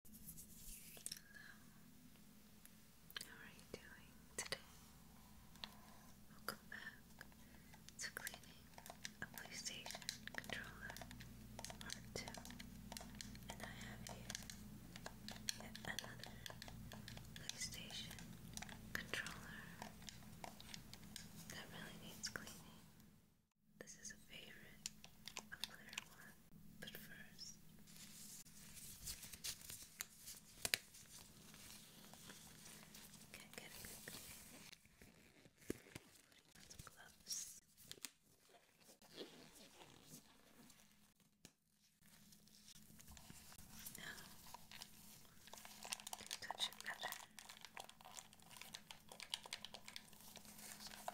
Hello, how are you doing today? Welcome back to cleaning a PlayStation controller And I have here another PlayStation controller that really needs cleaning. This is a favorite of Claire One, but 1st get a good clean. Putting on some gloves. touch it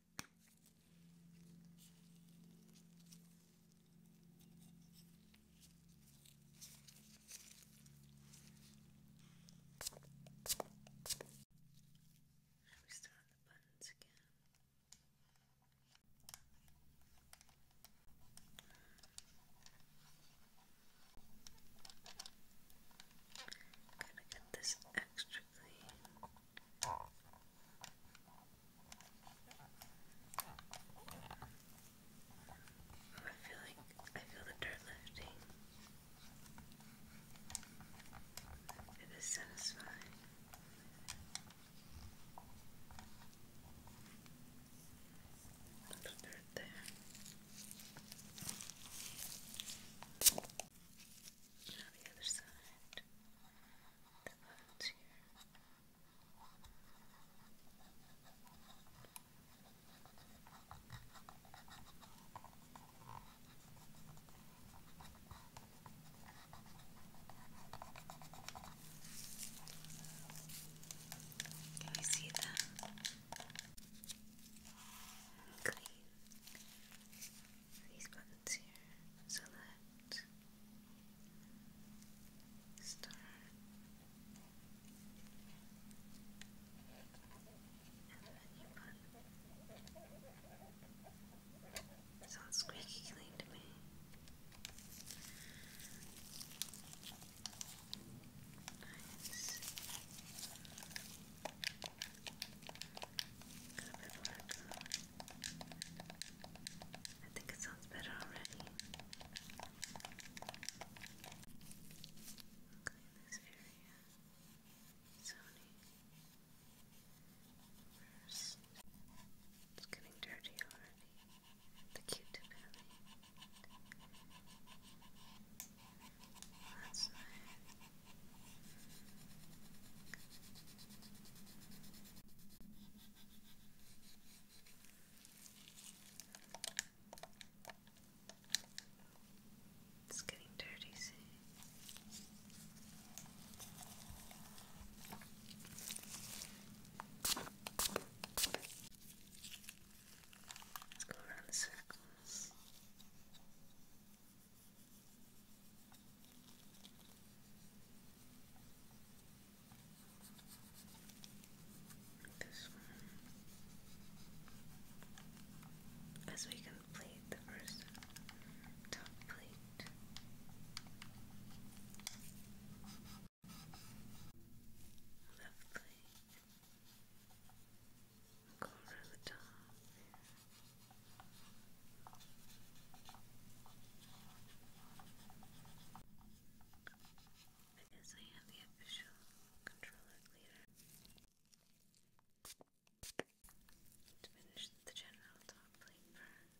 Now we start on the buttons again. Gotta get this extra actually. I feel like I feel the dirt lifting. It is satisfying. The dirt there. Now the other side. The bones here. Can you see that? Clean these buttons here. Select, start, and the menu button. Sounds squeaky clean to me. Nice. Cover black I think it sounds better already. Clean this area. Sony. It's getting dirty already. The Q-tip that's it's getting dirty soon. Let's go around the circles. This one. As we complete the first top plate. Lovely. Go around I am the official controller leader. finish the general top plate part.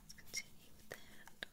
Let's continue with the handle.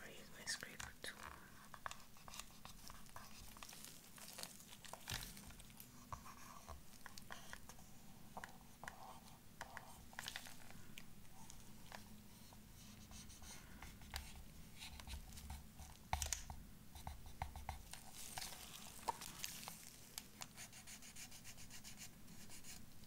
Or use my scraper tool.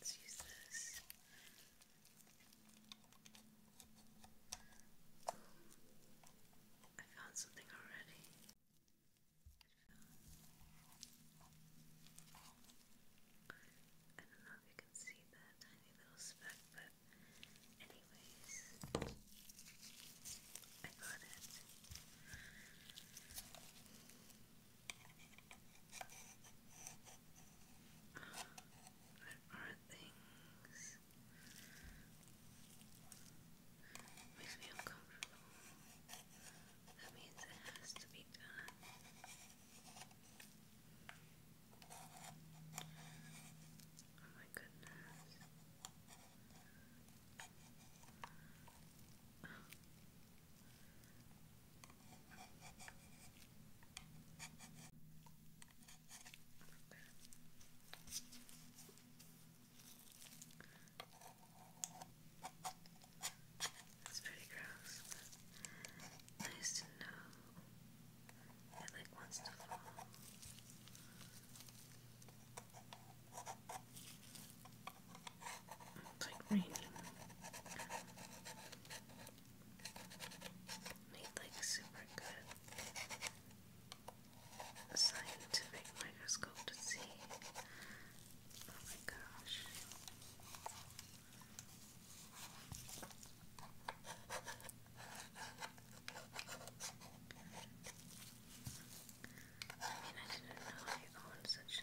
Let's use this. I found something already. I don't know if you can see that tiny little speck, but anyways, I got it. There are things makes me uncomfortable. That means it has to be done. Oh my goodness. It's pretty gross, nice to know it like wants to fall like green. Need like super good scientific microscope to see. Oh my gosh. I mean, I didn't know I owned such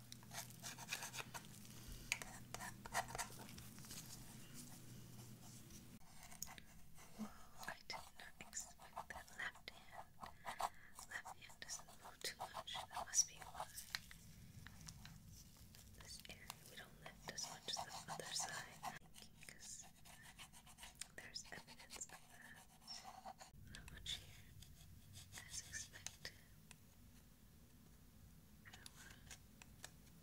Whoa, I did not expect that left hand. Left hand doesn't move too much. That must be why. we don't lift as much as the other side. there's evidence of that. Not much here. As expected. I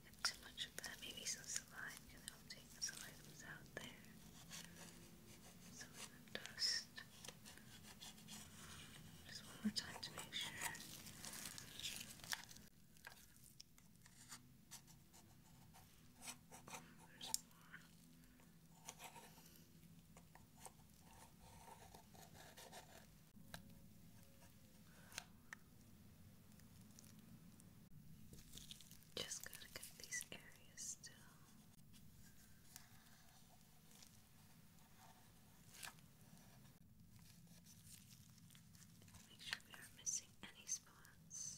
do too much of that. Maybe some slime can help take some items out there. Some dust. Just one more time to make sure. There's more. Just gotta get these areas still. Make sure we are missing any spots.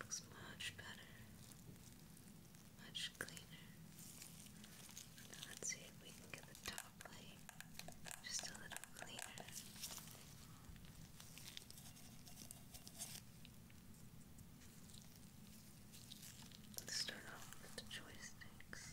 Looks much better, much cleaner. let's see if we can get the top light just a little cleaner. Let's start off with the joysticks.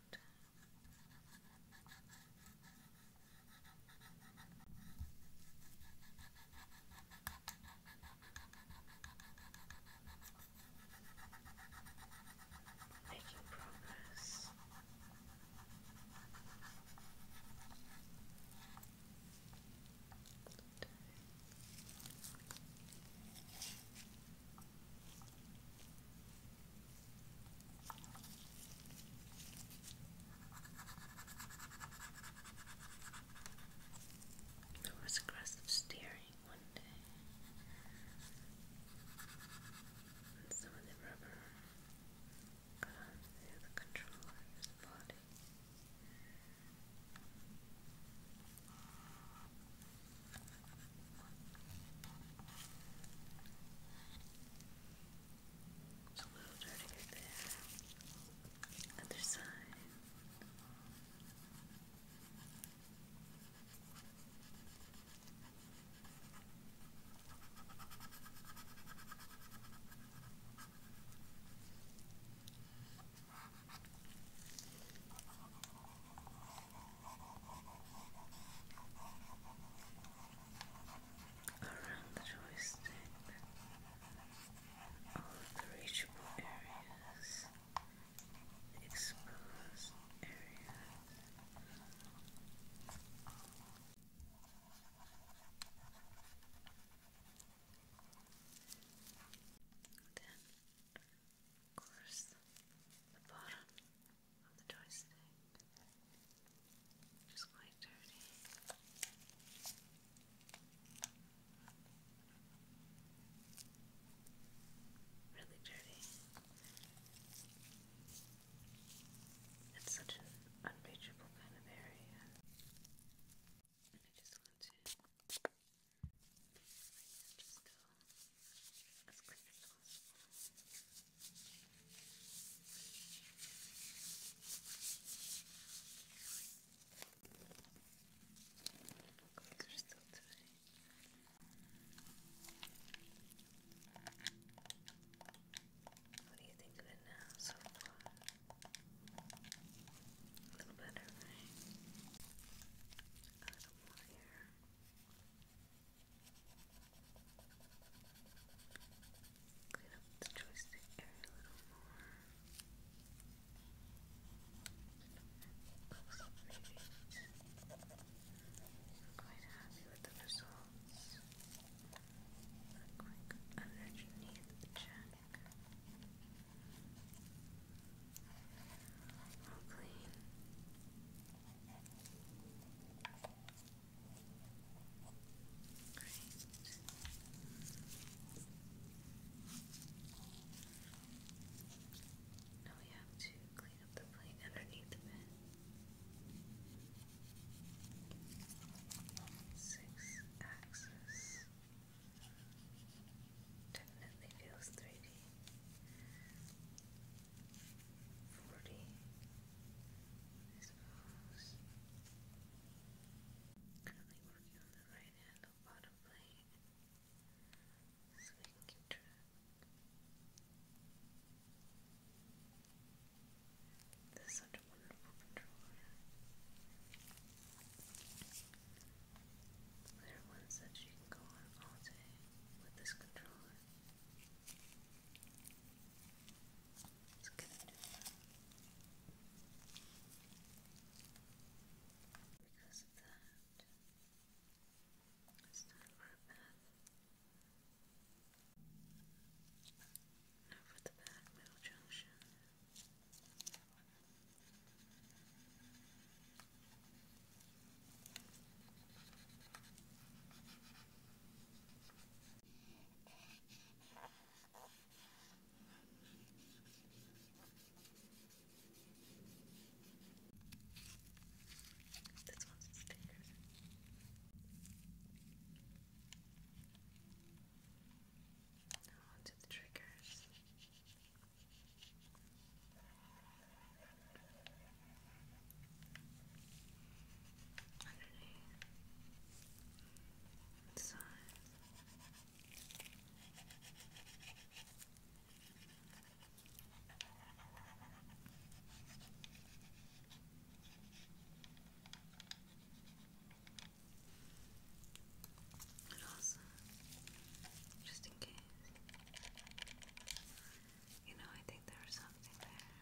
that. Making progress. There was aggressive steering one day, some of the rubber got onto the controller's body. It's a little dirty right there. Other side around the joystick, all the reachable areas, exposed areas. Then, of course, the bottom on the joystick, which quite dirty. Really dirty. It's such an unreachable kind of area. And I just want to. just go as quick as possible. Quicker still today. What do you think of it now so far? A little better, right? A little more here. Clean up the joystick area a little more. I'm quite happy with the results. A quick underneath check. All clean. Now we have to clean up the plate underneath the bed. Six axis definitely feels 3D forty, I suppose. Currently working on the right hand bottom plate, This is such a wonderful controller. There are ones that you can go on all day with this controller. It's gonna do that. Because of that, Now for the back middle junction. This one's stickers. Now onto the triggers underneath, inside. just in case you know, I think there's something there.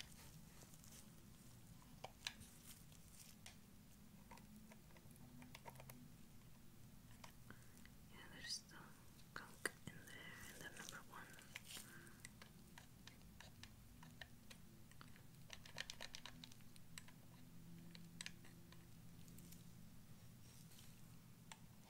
Yeah, there's still gunk in there, number one. Just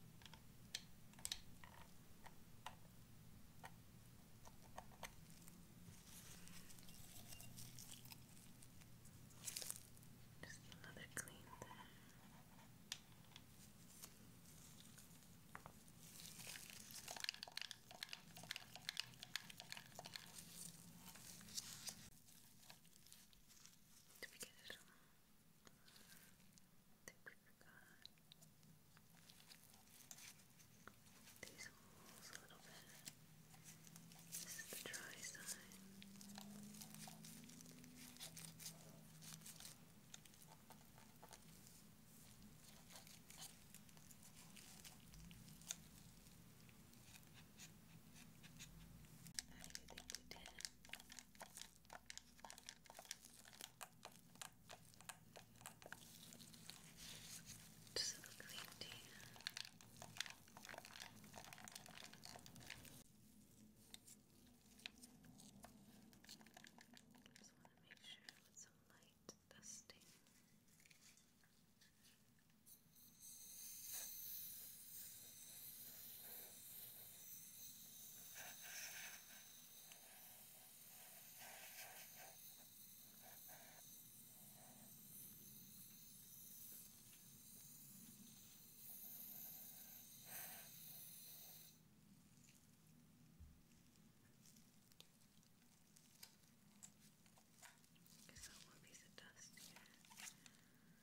another clean there. Did we get it all? that we forgot. These holes a little bit. This is the dry side. Okay. How you Just have a clean Just want to make sure with some light dusting. There's one piece of dust here.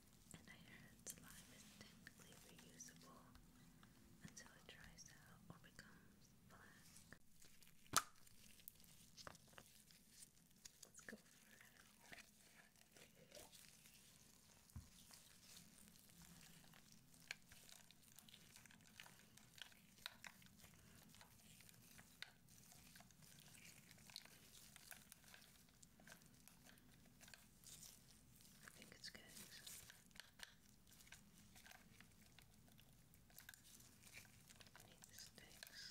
and I heard saliva is technically reusable until it dries out or becomes black. Let's go I think it's good. need sticks.